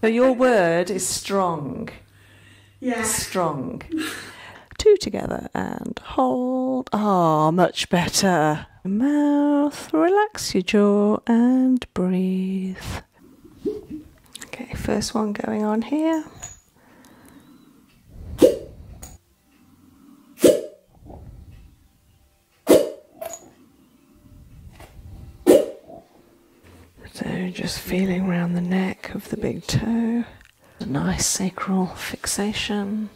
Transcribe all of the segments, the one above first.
So your word is strong. Yeah. Strong. Two together and hold. Ah, much better. Mouth, relax your jaw and breathe. Okay, first one going on here. So just feeling around the neck of the big toe, a nice sacral fixation.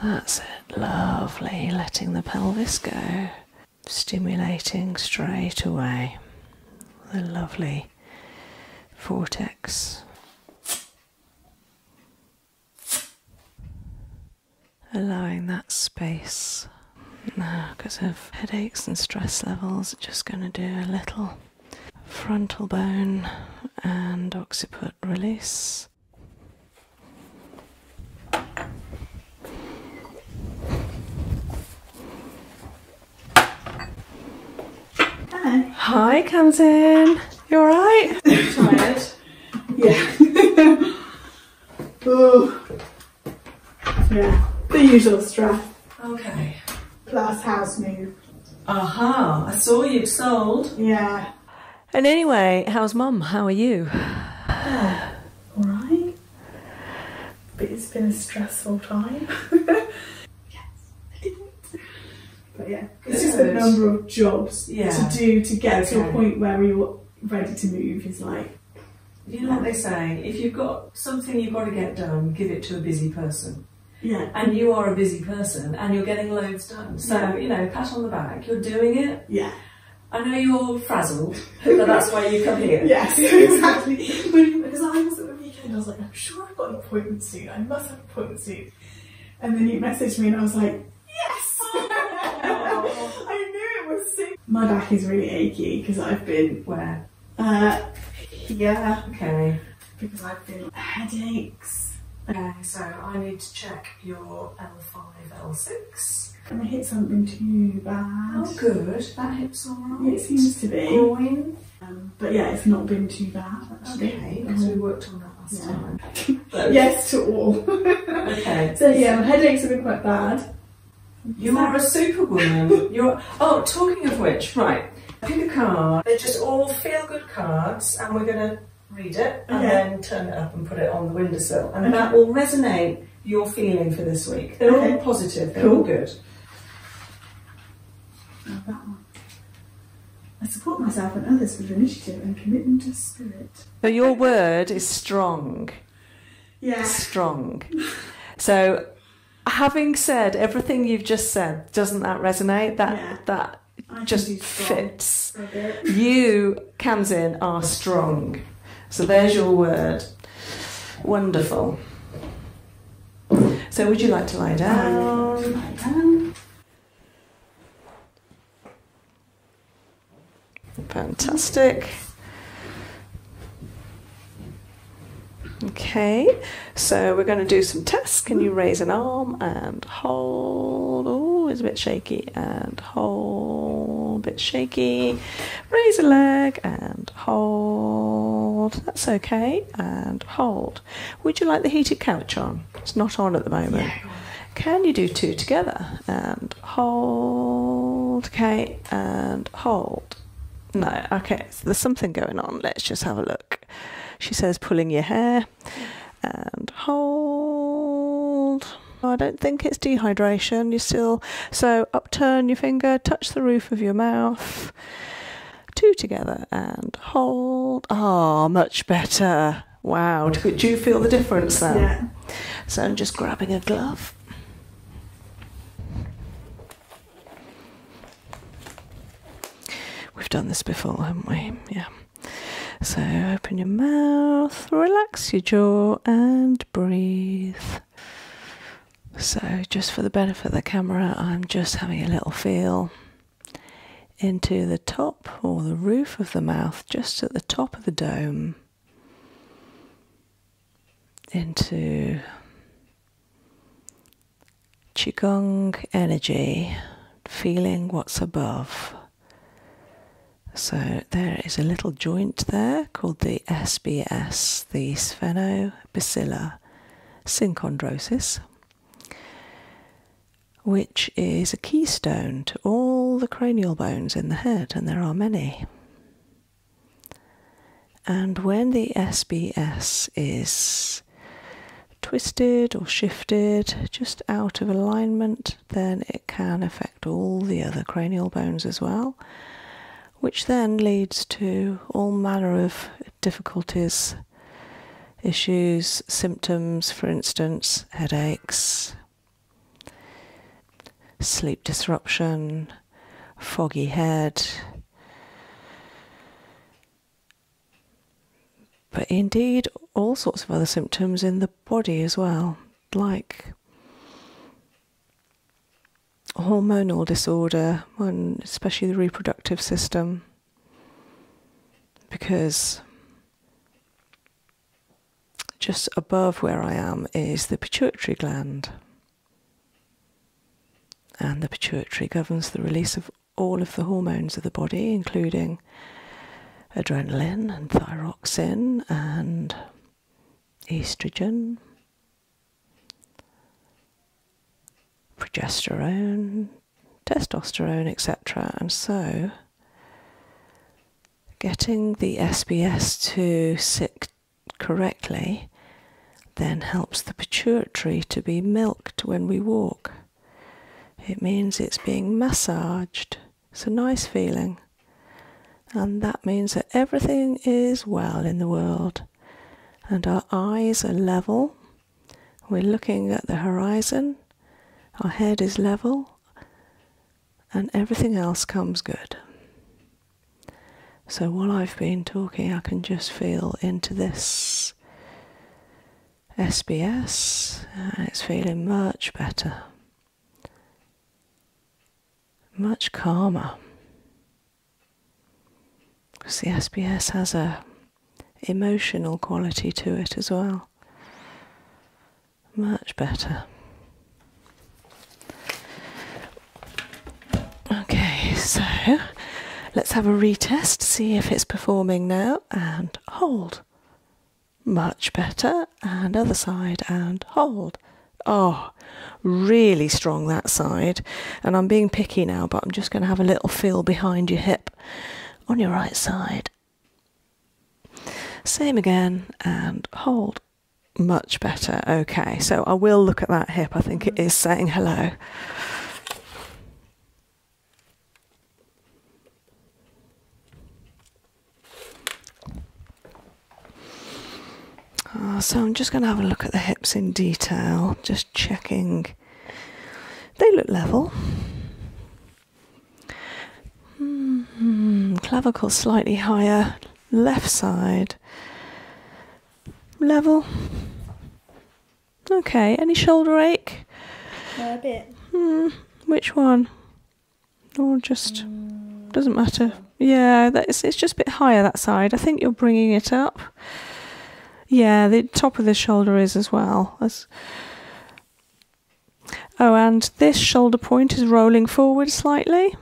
That's it, lovely, letting the pelvis go, stimulating straight away the lovely vortex. Allowing that space because of headaches and stress levels just going to do a little frontal bone and occiput release Hi. Hi, comes in. You alright? Tired. yeah. Yeah, the usual stress. Okay. Plus house move. Aha, I saw you'd sold. Yeah. And anyway, how's mum? How are you? all right. But it's been a stressful time. yes, I did But yeah, it's just the number of jobs yeah. to do to get to a point where you're ready to move is like you know what they say, if you've got something you've got to get done, give it to a busy person. Yeah. And you are a busy person and you're getting loads done. So, you know, pat on the back, you're doing it. Yeah. I know you're frazzled, but that's why you come here. yes, exactly. because I was at the weekend, I was like, I'm sure I've got an appointment soon. I must have an appointment soon. And then you messaged me and I was like, yes! I knew it was soon. My back is really achy because I've been where uh, yeah. Okay. Because I feel headaches. Okay, so I need to check your L5, L6. Can I hit something too bad? Oh, good. That hits alright. It seems to be. Groin. Um, but yeah, it's not been too bad. Okay, because um, we worked on that last time. yes to all. okay. So yeah, my headaches have been quite bad. You're a superwoman. You're oh, talking of which, right? Pick a card. They're just all feel good cards, and we're gonna read it and then turn it up and put it on the windowsill, and that will resonate your feeling for this week. They're all positive. They're all good. that one. I support myself and others with initiative and commitment of spirit. So your word is strong yeah. strong. So, having said everything you've just said, doesn't that resonate? That that just fits. You, Kanzin, are strong. So there's your word. Wonderful. So would you like to lie down. Um, Fantastic. Okay, so we're going to do some tests. Can you raise an arm and hold? Oh, it's a bit shaky. And hold, a bit shaky. Raise a leg and hold. That's okay. And hold. Would you like the heated couch on? It's not on at the moment. Can you do two together? And hold. Okay, and hold. No, okay, so there's something going on. Let's just have a look. She says pulling your hair and hold. I don't think it's dehydration. You still so upturn your finger, touch the roof of your mouth. Two together and hold. Ah, much better. Wow. Do, you feel the difference then? Yeah. So I'm just grabbing a glove. We've done this before, haven't we? Yeah. So open your mouth, relax your jaw, and breathe. So, just for the benefit of the camera, I'm just having a little feel into the top or the roof of the mouth, just at the top of the dome into Qigong energy, feeling what's above. So there is a little joint there called the SBS, the sphenobacillar synchondrosis, which is a keystone to all the cranial bones in the head, and there are many. And when the SBS is twisted or shifted just out of alignment, then it can affect all the other cranial bones as well, which then leads to all manner of difficulties, issues, symptoms, for instance, headaches sleep disruption, foggy head. But indeed, all sorts of other symptoms in the body as well, like hormonal disorder, and especially the reproductive system, because just above where I am is the pituitary gland. And the pituitary governs the release of all of the hormones of the body, including adrenaline and thyroxine and estrogen, progesterone, testosterone, etc. And so, getting the SBS to sit correctly then helps the pituitary to be milked when we walk. It means it's being massaged. It's a nice feeling. And that means that everything is well in the world. And our eyes are level. We're looking at the horizon. Our head is level. And everything else comes good. So, while I've been talking, I can just feel into this SBS and it's feeling much better, much calmer. Because the SBS has a emotional quality to it as well. Much better. Okay, so let's have a retest, see if it's performing now, and hold. Much better, and other side, and hold. Oh, really strong that side. And I'm being picky now, but I'm just going to have a little feel behind your hip on your right side. Same again, and hold much better. Okay, so I will look at that hip. I think it mm-hmm. is saying hello. Ah, so I'm just going to have a look at the hips in detail, just checking. They look level. Mm-hmm. Clavicle slightly higher, left side level. Okay, any shoulder ache? a bit. Hmm, which one? Or just mm. doesn't matter. Yeah, that is, it's just a bit higher that side. I think you're bringing it up. Yeah, the top of the shoulder is as well. That's, oh, and this shoulder point is rolling forward slightly.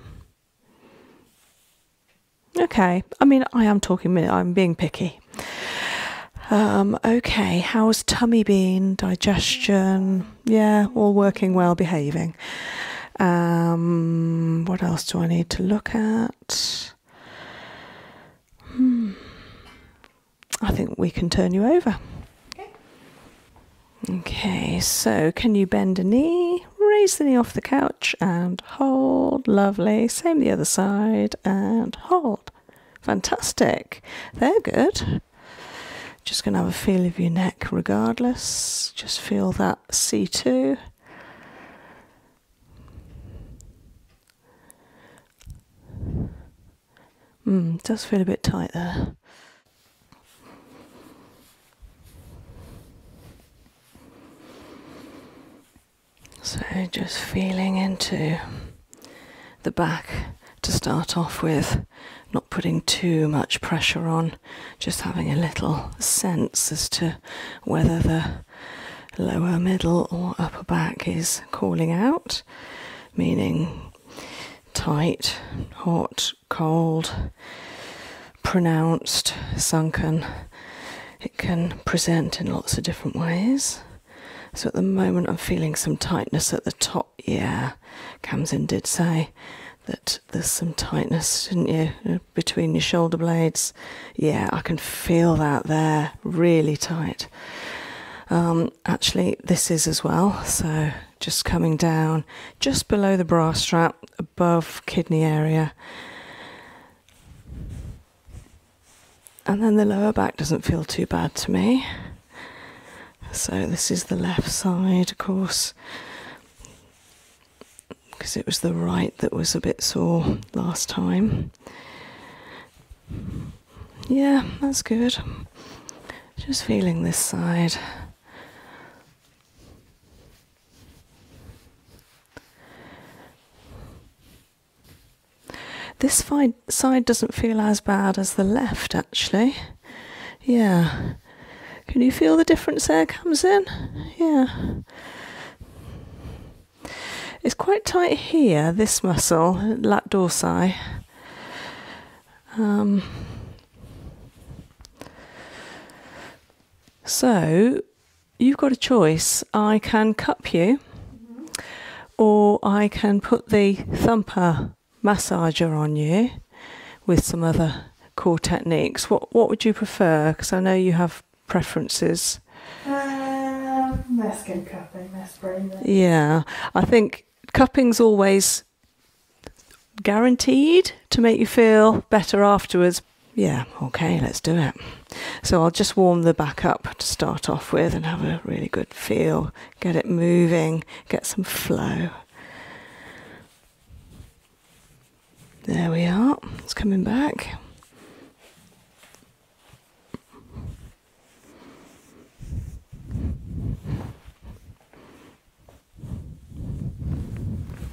Okay, I mean, I am talking I'm being picky. Um, okay, how's tummy been? Digestion? Yeah, all working well, behaving. Um, what else do I need to look at? Hmm. I think we can turn you over. Okay, so can you bend a knee? raise the knee off the couch and hold. Lovely. Same the other side and hold. Fantastic. They're good. Just going to have a feel of your neck regardless. Just feel that C2. Mm, does feel a bit tight there. So, just feeling into the back to start off with, not putting too much pressure on, just having a little sense as to whether the lower middle or upper back is calling out, meaning tight, hot, cold, pronounced, sunken. It can present in lots of different ways. So at the moment, I'm feeling some tightness at the top. Yeah, Kamzin did say that there's some tightness, didn't you, between your shoulder blades? Yeah, I can feel that there, really tight. Um, actually, this is as well. So just coming down just below the bra strap, above kidney area. And then the lower back doesn't feel too bad to me. So this is the left side, of course, because it was the right that was a bit sore last time. Yeah, that's good. Just feeling this side. This side doesn't feel as bad as the left, actually. Yeah. Can you feel the difference air comes in? Yeah. It's quite tight here, this muscle, lat dorsi. Um, so you've got a choice. I can cup you, or I can put the thumper massager on you with some other core techniques. What what would you prefer? Because I know you have preferences. Uh, um, let cupping. let Yeah, I think cupping's always guaranteed to make you feel better afterwards yeah, okay, let's do it. So I'll just warm the back up to start off with and have a really good feel, get it moving, get some flow. There we are, it's coming back.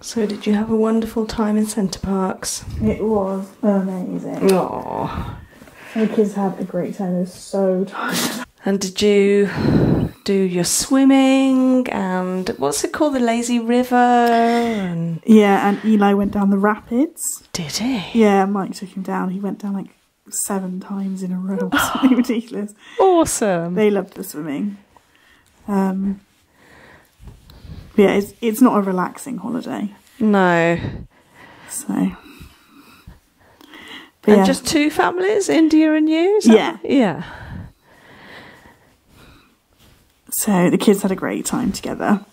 So, did you have a wonderful time in Centre Parks? It was amazing. Aww. My kids had a great time. It was so tired. And did you do your swimming and what's it called, the lazy river? Yeah, and Eli went down the rapids. Did he? Yeah, Mike took him down. He went down like seven times in a row. It was ridiculous. Awesome. They loved the swimming. Um, yeah, it's it's not a relaxing holiday. No. So. and just two families, India and you. Yeah, yeah. So the kids had a great time together.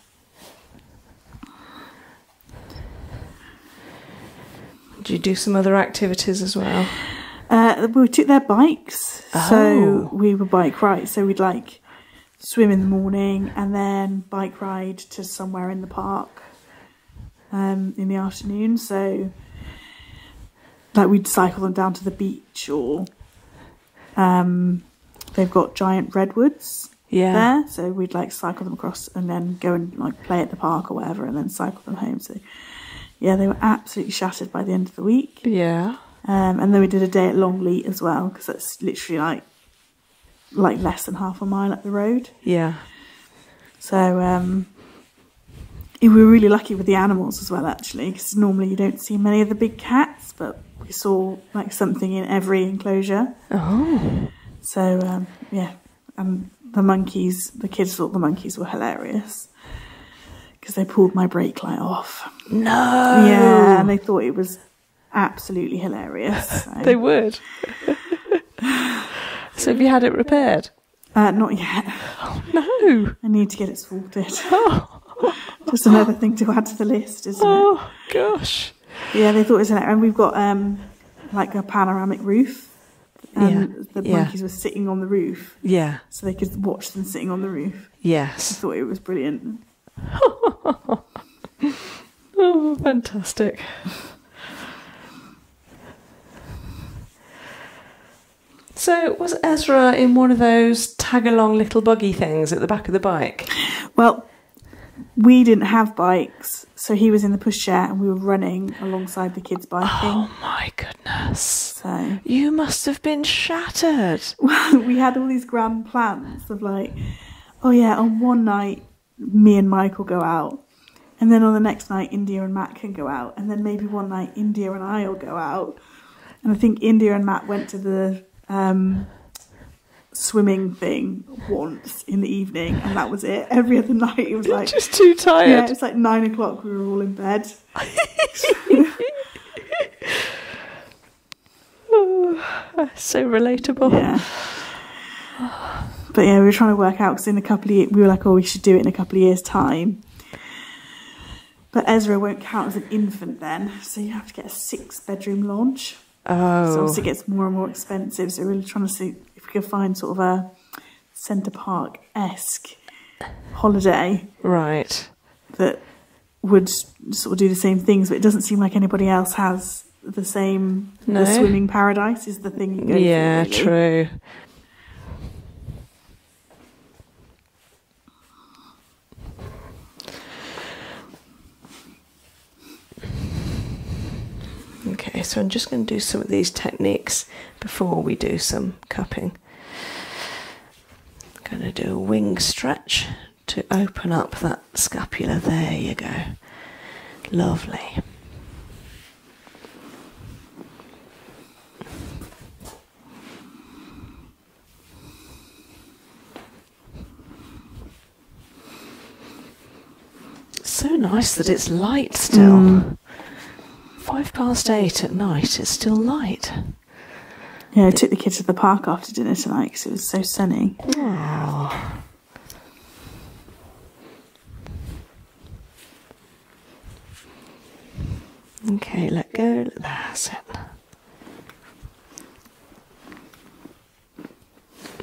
Do you do some other activities as well? Uh, we took their bikes, so oh. we would bike ride. So we'd like swim in the morning and then bike ride to somewhere in the park um, in the afternoon. So like we'd cycle them down to the beach or um, they've got giant redwoods there. So we'd like cycle them across and then go and like play at the park or whatever and then cycle them home. So yeah, they were absolutely shattered by the end of the week. Yeah. Um, and then we did a day at Longleat as well because that's literally like like less than half a mile up the road. Yeah. So um, we were really lucky with the animals as well, actually, because normally you don't see many of the big cats, but we saw like something in every enclosure. Oh. So um, yeah, and the monkeys, the kids thought the monkeys were hilarious because they pulled my brake light off. No. Yeah, and they thought it was absolutely hilarious. they would. so have you had it repaired? Uh, not yet. no. I need to get it sorted. Oh. Just another thing to add to the list, isn't it? Oh, gosh. Yeah, they thought it was hilarious. And we've got um, like a panoramic roof and the monkeys were sitting on the roof. Yeah. So they could watch them sitting on the roof. Yes. I thought it was brilliant. oh, fantastic. So was Ezra in one of those tag along little buggy things at the back of the bike? Well, we didn't have bikes, so he was in the pushchair and we were running alongside the kids biking. Oh my god. So you must have been shattered. we had all these grand plans of like, oh yeah, on one night me and Michael go out, and then on the next night India and Matt can go out, and then maybe one night India and I'll go out. And I think India and Matt went to the um, swimming thing once in the evening, and that was it. Every other night, it was like just too tired. Yeah, it's like nine o'clock. We were all in bed, Oh, so relatable. But yeah, we were trying to work out because in a couple of years, we were like, oh, we should do it in a couple of years' time. But Ezra won't count as an infant then, so you have to get a six bedroom launch. Oh. So it gets more and more expensive, so we're really trying to see if we can find sort of a Centre Park esque holiday. Right. That would sort of do the same things, but it doesn't seem like anybody else has the same. The swimming paradise is the thing Yeah, true. Okay, so I'm just going to do some of these techniques before we do some cupping. I'm going to do a wing stretch to open up that scapula. There you go. Lovely. So nice that it's light still. Mm. Five past eight at night, it's still light. Yeah, I took the kids to the park after dinner tonight because it was so sunny. Oh. Okay, let go. That's it.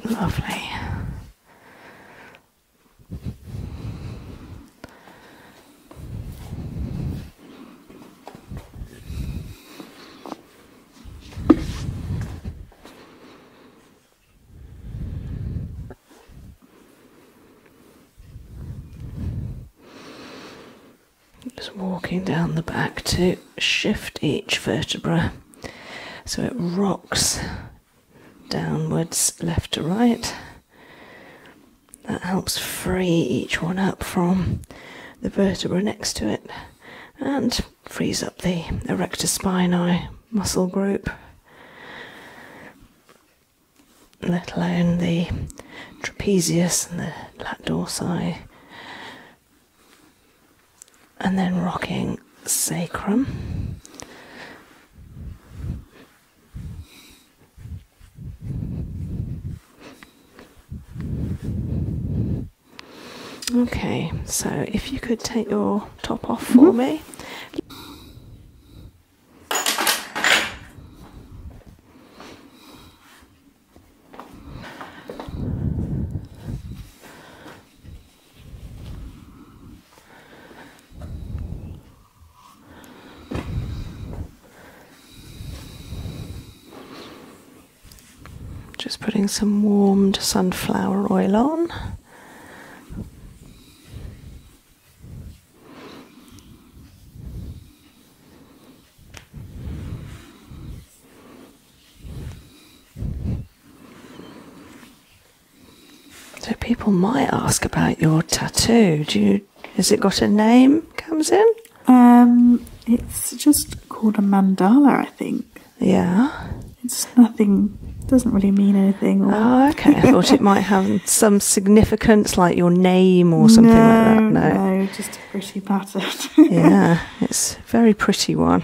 Lovely. Just walking down the back to shift each vertebra so it rocks downwards left to right that helps free each one up from the vertebra next to it and frees up the erector spinae muscle group, let alone the trapezius and the latissimus, and then rocking sacrum. Okay, so if you could take your top off for mm-hmm. me. Just putting some warmed sunflower oil on. So people might ask about your tattoo. Do you has it got a name comes in? Um, it's just called a mandala, I think. Yeah. It's nothing, doesn't really mean anything. Oh, okay. I thought it might have some significance, like your name or something like that. No, no, just a pretty pattern. yeah, it's a very pretty one.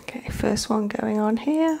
Okay, first one going on here.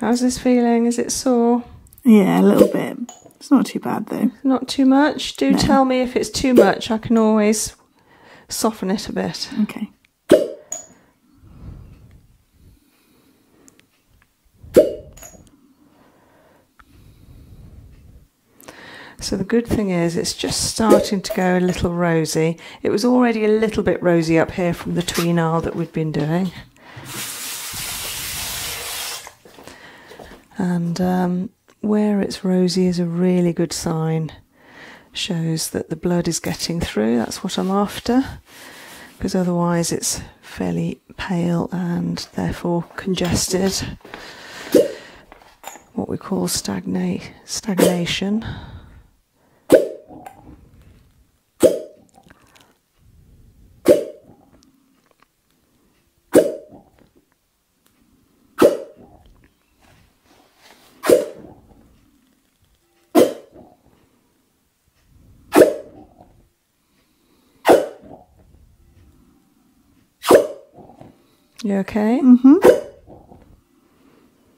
How's this feeling? Is it sore? Yeah, a little bit. It's not too bad though. Not too much. Do tell me if it's too much. I can always soften it a bit. Okay. So the good thing is it's just starting to go a little rosy. It was already a little bit rosy up here from the tween aisle that we'd been doing. And um, where it's rosy is a really good sign. Shows that the blood is getting through, that's what I'm after. Because otherwise it's fairly pale and therefore congested. What we call stagnate, stagnation. You okay? Mm-hmm.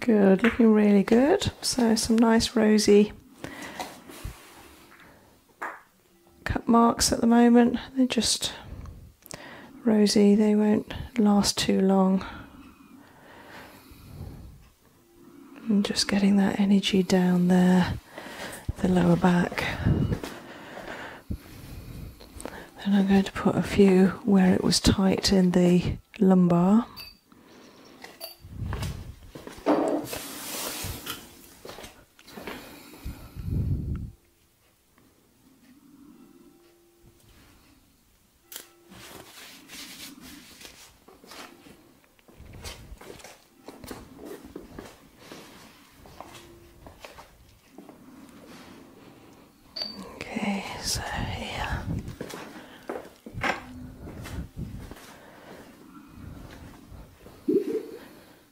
Good, looking really good. So some nice rosy cut marks at the moment. They're just rosy, they won't last too long. I'm just getting that energy down there, the lower back. Then I'm going to put a few where it was tight in the lumbar. Okay, so here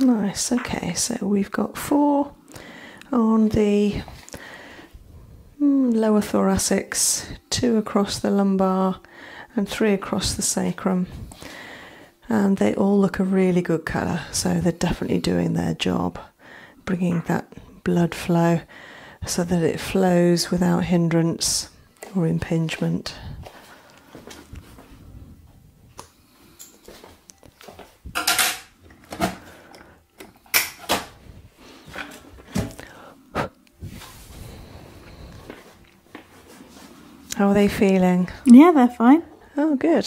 Nice, okay, so we've got four on the hmm, lower thoracics, two across the lumbar, and three across the sacrum. And they all look a really good colour, so they're definitely doing their job, bringing that blood flow so that it flows without hindrance or impingement. How are they feeling? Yeah, they're fine. Oh, good.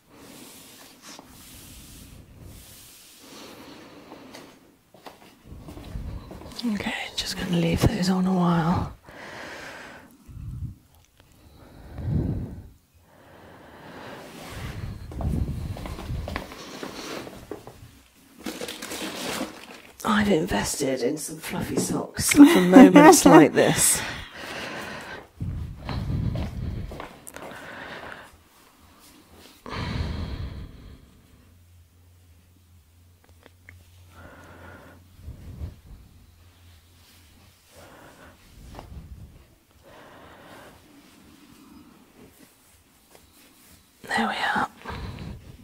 Okay, just going to leave those on a while. I've invested in some fluffy socks for moments like this. There we are.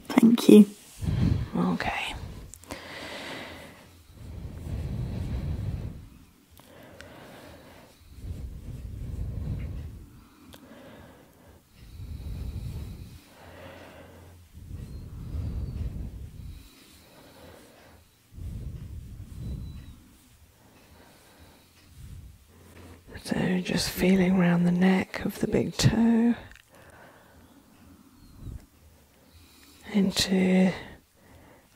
Thank you. Okay. So, just feeling around the neck of the big toe into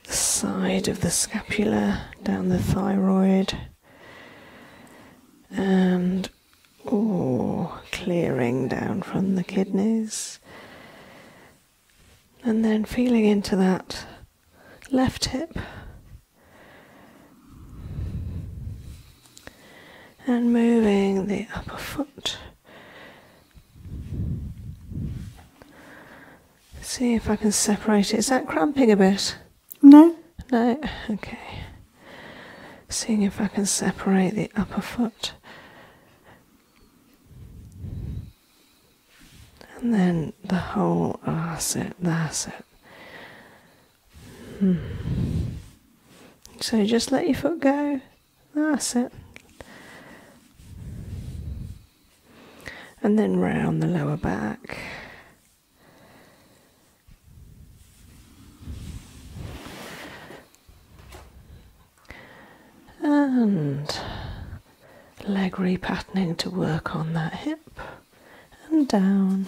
the side of the scapula, down the thyroid, and or clearing down from the kidneys, and then feeling into that left hip. And moving the upper foot See if I can separate it. Is that cramping a bit? No. No? Okay. Seeing if I can separate the upper foot. And then the whole, oh, it, that's it. So just let your foot go. That's it and then round the lower back. And leg repatterning to work on that hip and down.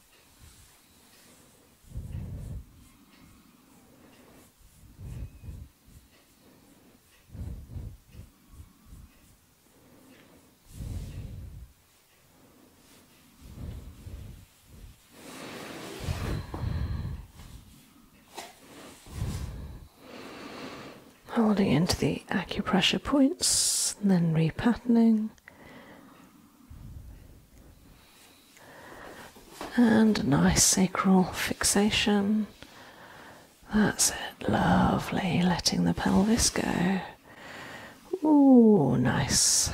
Holding into the acupressure points, then repatterning. And a nice sacral fixation. That's it, lovely, letting the pelvis go. Oh, nice.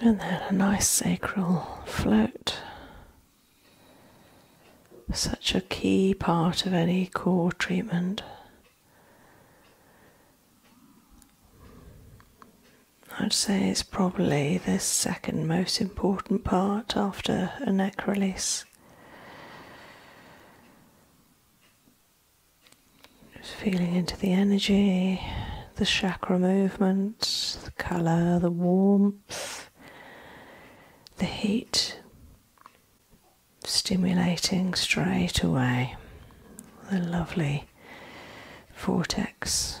And then a nice sacral float such a key part of any core treatment. I'd say it's probably the second most important part after a neck release. Just feeling into the energy, the chakra movement, the colour, the warmth the heat stimulating straight away the lovely vortex.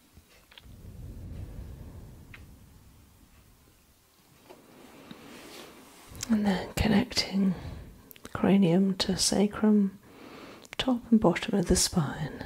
And then connecting cranium to sacrum, top and bottom of the spine.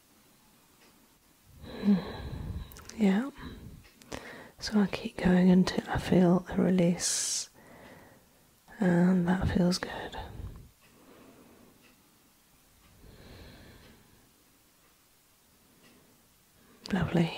Yeah. So I keep going until I feel a release, and that feels good. Lovely.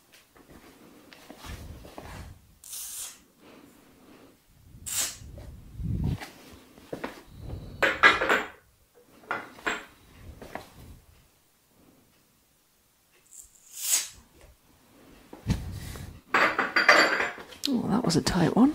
Oh, that was a tight one.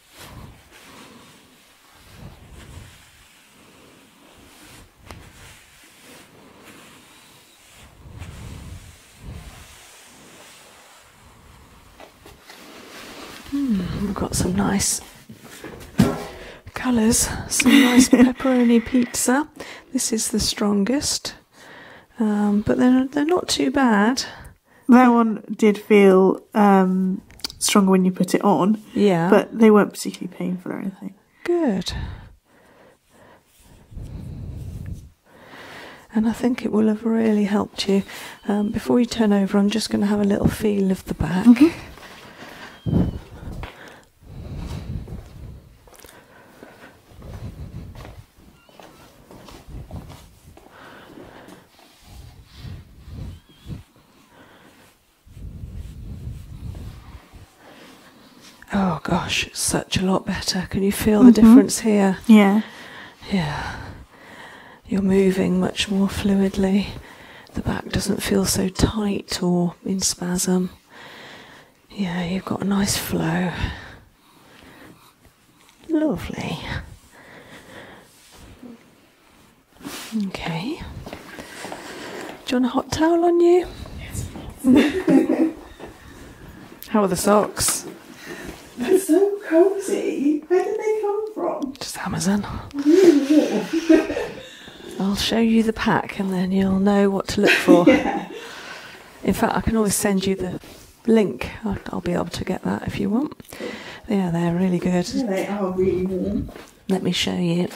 Hmm, we've got some nice colours, some nice pepperoni pizza. This is the strongest, um, but they're, they're not too bad. That one did feel um, stronger when you put it on. Yeah. But they weren't particularly painful or anything. Good. And I think it will have really helped you. Um, before you turn over, I'm just going to have a little feel of the back. Mm-hmm. Oh gosh, it's such a lot better. Can you feel the mm-hmm. difference here? Yeah. Yeah. You're moving much more fluidly. The back doesn't feel so tight or in spasm. Yeah, you've got a nice flow. Lovely. Okay. Do you want a hot towel on you? Yes. How are the socks? They're so cozy. Where did they come from? Just Amazon. I'll show you the pack and then you'll know what to look for. In fact, I can always send you the link. I'll, be able to get that if you want. Yeah, they're really good. they are really warm. Let me show you.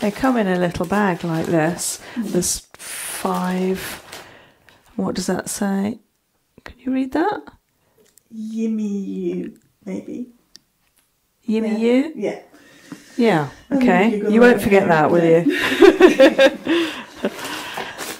They come in a little bag like this. Hmm. There's five. What does that say? Can you read that? Yimmy you, maybe. Yimmy you? Yeah. Yeah, okay. You won't forget that, will you?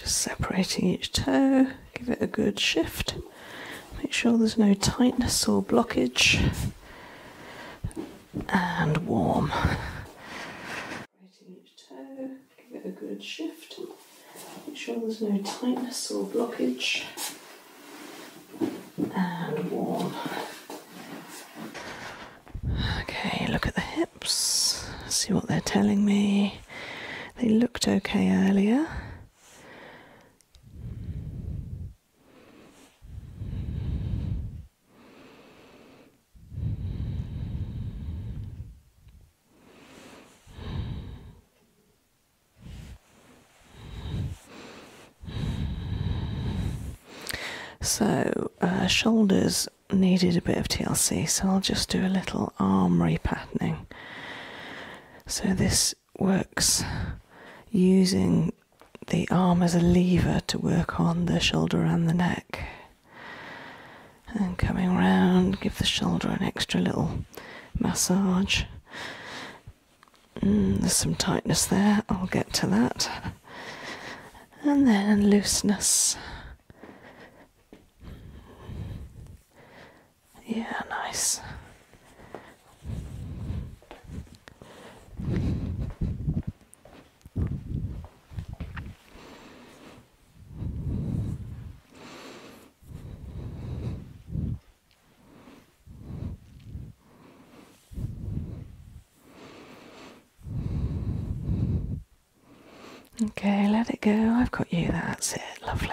Just separating each toe, give it a good shift, make sure there's no tightness or blockage, and warm. Separating each toe, give it a good shift. Make sure there's no tightness or blockage. And warm. Okay, look at the hips. See what they're telling me. They looked okay earlier. So, uh, shoulders needed a bit of TLC, so I'll just do a little arm repatterning. So, this works using the arm as a lever to work on the shoulder and the neck. And coming round, give the shoulder an extra little massage. Mm, there's some tightness there, I'll get to that. And then looseness. Yeah, nice. Okay, let it go. I've got you. That's it. Lovely.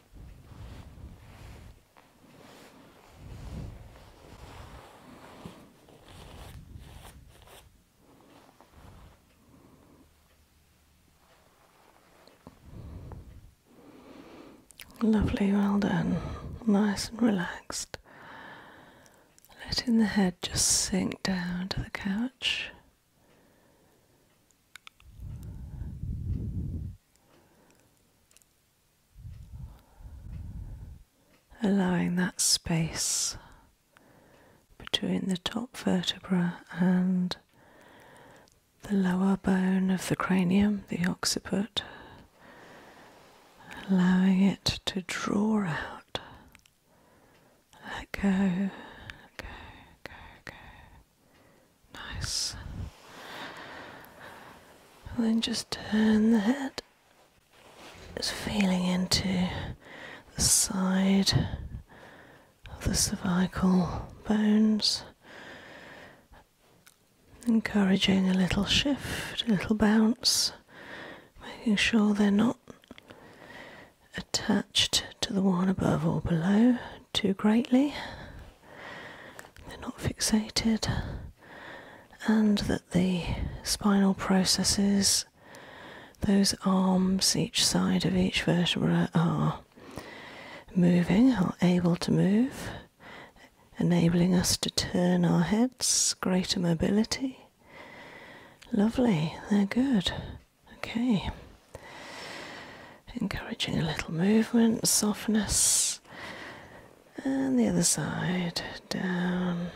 Lovely, well done. Nice and relaxed. Letting the head just sink down to the couch. Allowing that space between the top vertebra and the lower bone of the cranium, the occiput, allowing it to draw out, let go, go, go, go. Nice. then just turn the head. Just feeling into the side of the cervical bones. Encouraging a little shift, a little bounce, making sure they're not attached to the one above or below too greatly, they're not fixated, and that the spinal processes, those arms each side of each vertebra, are moving, are able to move, enabling us to turn our heads, greater mobility. Lovely, they're good. Okay. Encouraging a little movement, softness. And the other side, down.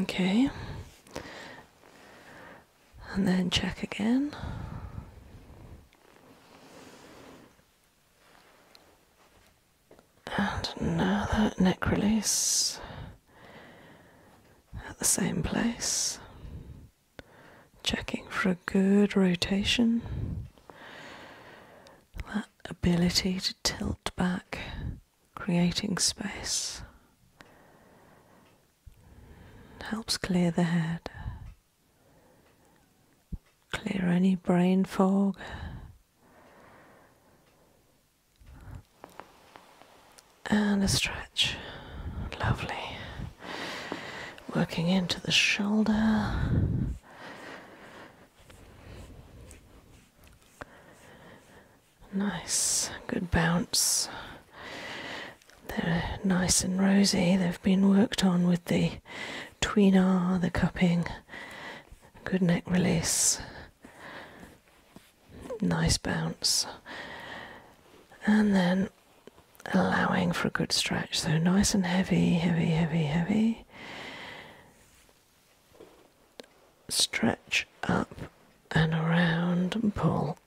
Okay. And then check again. And now that neck release at the same place. Checking for a good rotation ability to tilt back, creating space, helps clear the head, clear any brain fog. And a stretch. Lovely. Working into the shoulder. Nice, good bounce. They're nice and rosy, they've been worked on with the tweener, the cupping, good neck release. Nice bounce. And then allowing for a good stretch. So nice and heavy, heavy, heavy, heavy stretch up and around pull.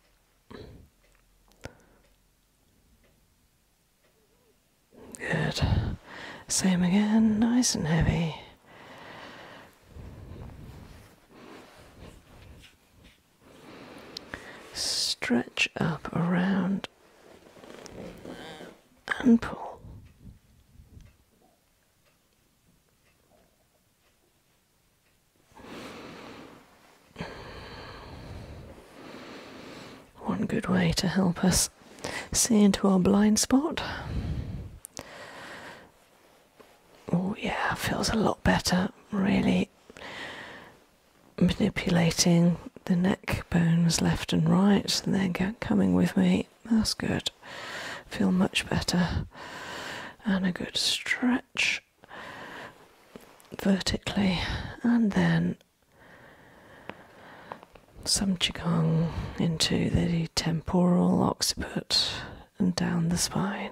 Good. Same again, nice and heavy. Stretch up around and pull. One good way to help us see into our blind spot. Oh, yeah, feels a lot better, really manipulating the neck bones left and right, and they're coming with me. That's good. Feel much better. And a good stretch vertically, and then some qigong into the temporal occiput and down the spine.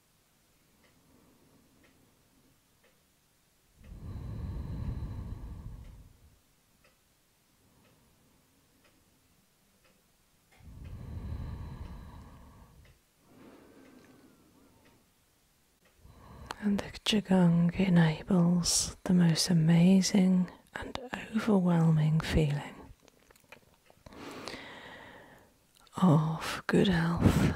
And the Qigong enables the most amazing and overwhelming feeling of good health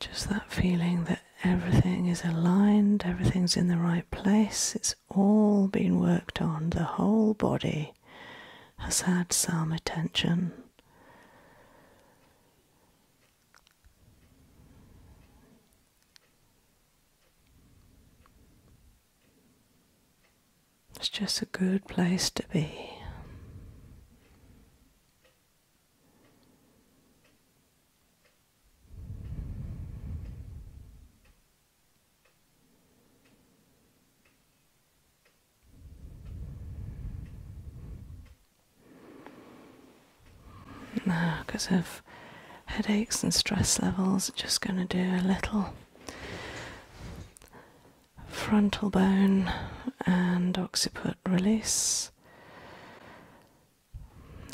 just that feeling that everything is aligned, everything's in the right place, it's all been worked on, the whole body has had some attention. It's just a good place to be. No, because of headaches and stress levels, just going to do a little frontal bone and occiput release,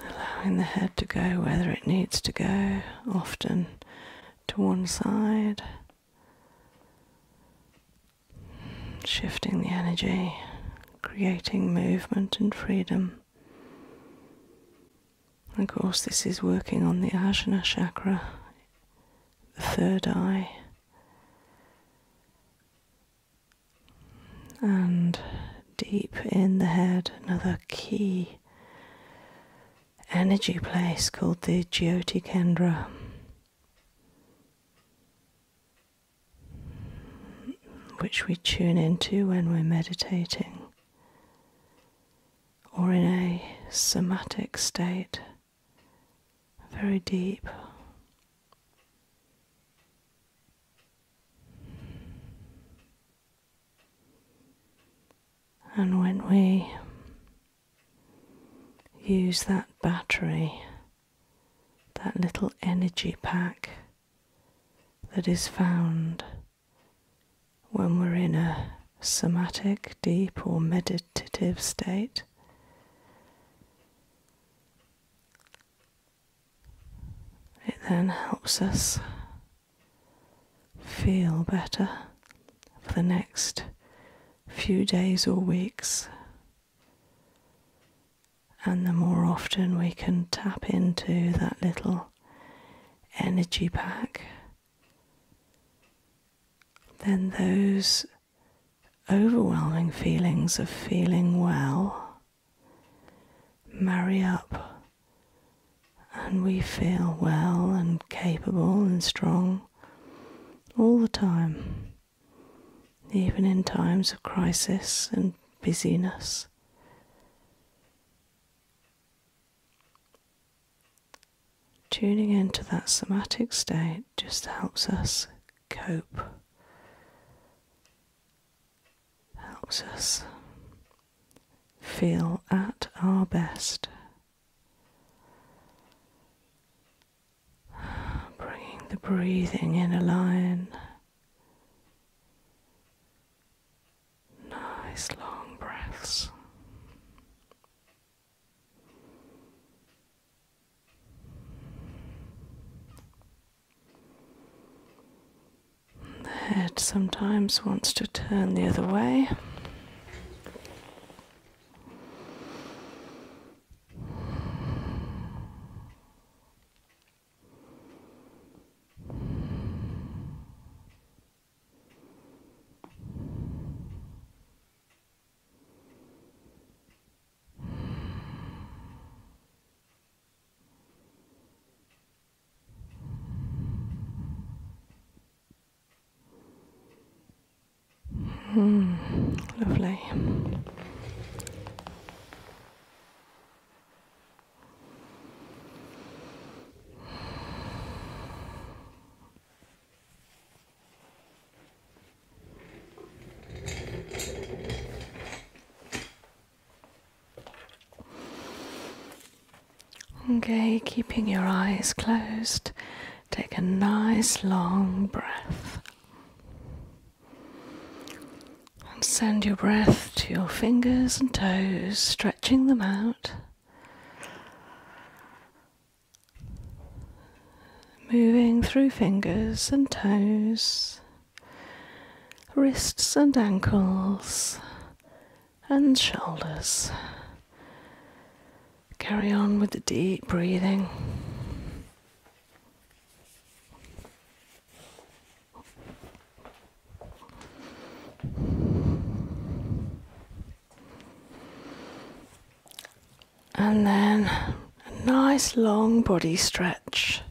allowing the head to go whether it needs to go, often to one side, shifting the energy, creating movement and freedom. Of course, this is working on the Ajna chakra the third eye, and deep in the head, another key energy place called the Jyoti Kendra. Which we tune into when we're meditating or in a somatic state very deep. And when we use that battery, that little energy pack that is found when we're in a somatic, deep, or meditative state. It then helps us feel better for the next few days or weeks. And the more often we can tap into that little energy pack then those overwhelming feelings of feeling well marry up and we feel well and capable and strong all the time, even in times of crisis and busyness. Tuning into that somatic state just helps us cope, helps us feel at our best. Bringing the breathing in a line. Nice long breaths. The head sometimes wants to turn the other way. Mm, lovely. Okay, keeping your eyes closed, take a nice long breath. And send your breath to your fingers and toes, stretching them out moving through fingers and toes, wrists and ankles, and shoulders. Carry on with the deep breathing and then a nice long body stretch.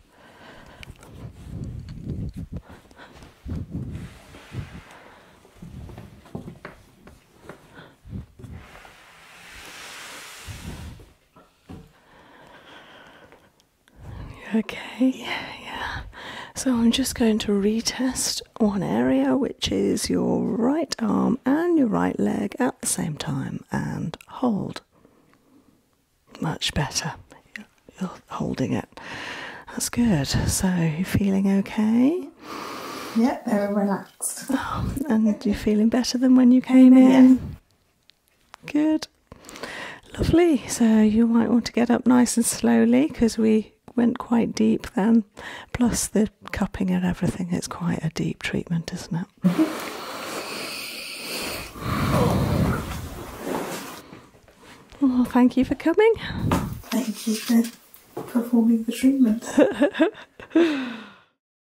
Okay, yeah, yeah. So I'm just going to retest one area is your right arm and your right leg at the same time and hold. Much better. You're holding it. That's good. So, you're feeling okay? Yeah, very relaxed. Oh, and you're feeling better than when you came in? Yeah. Good. Lovely. So, you might want to get up nice and slowly because we went quite deep then plus the cupping and everything. It's quite a deep treatment, isn't it? Oh, thank you for coming. Thank you for performing the treatment.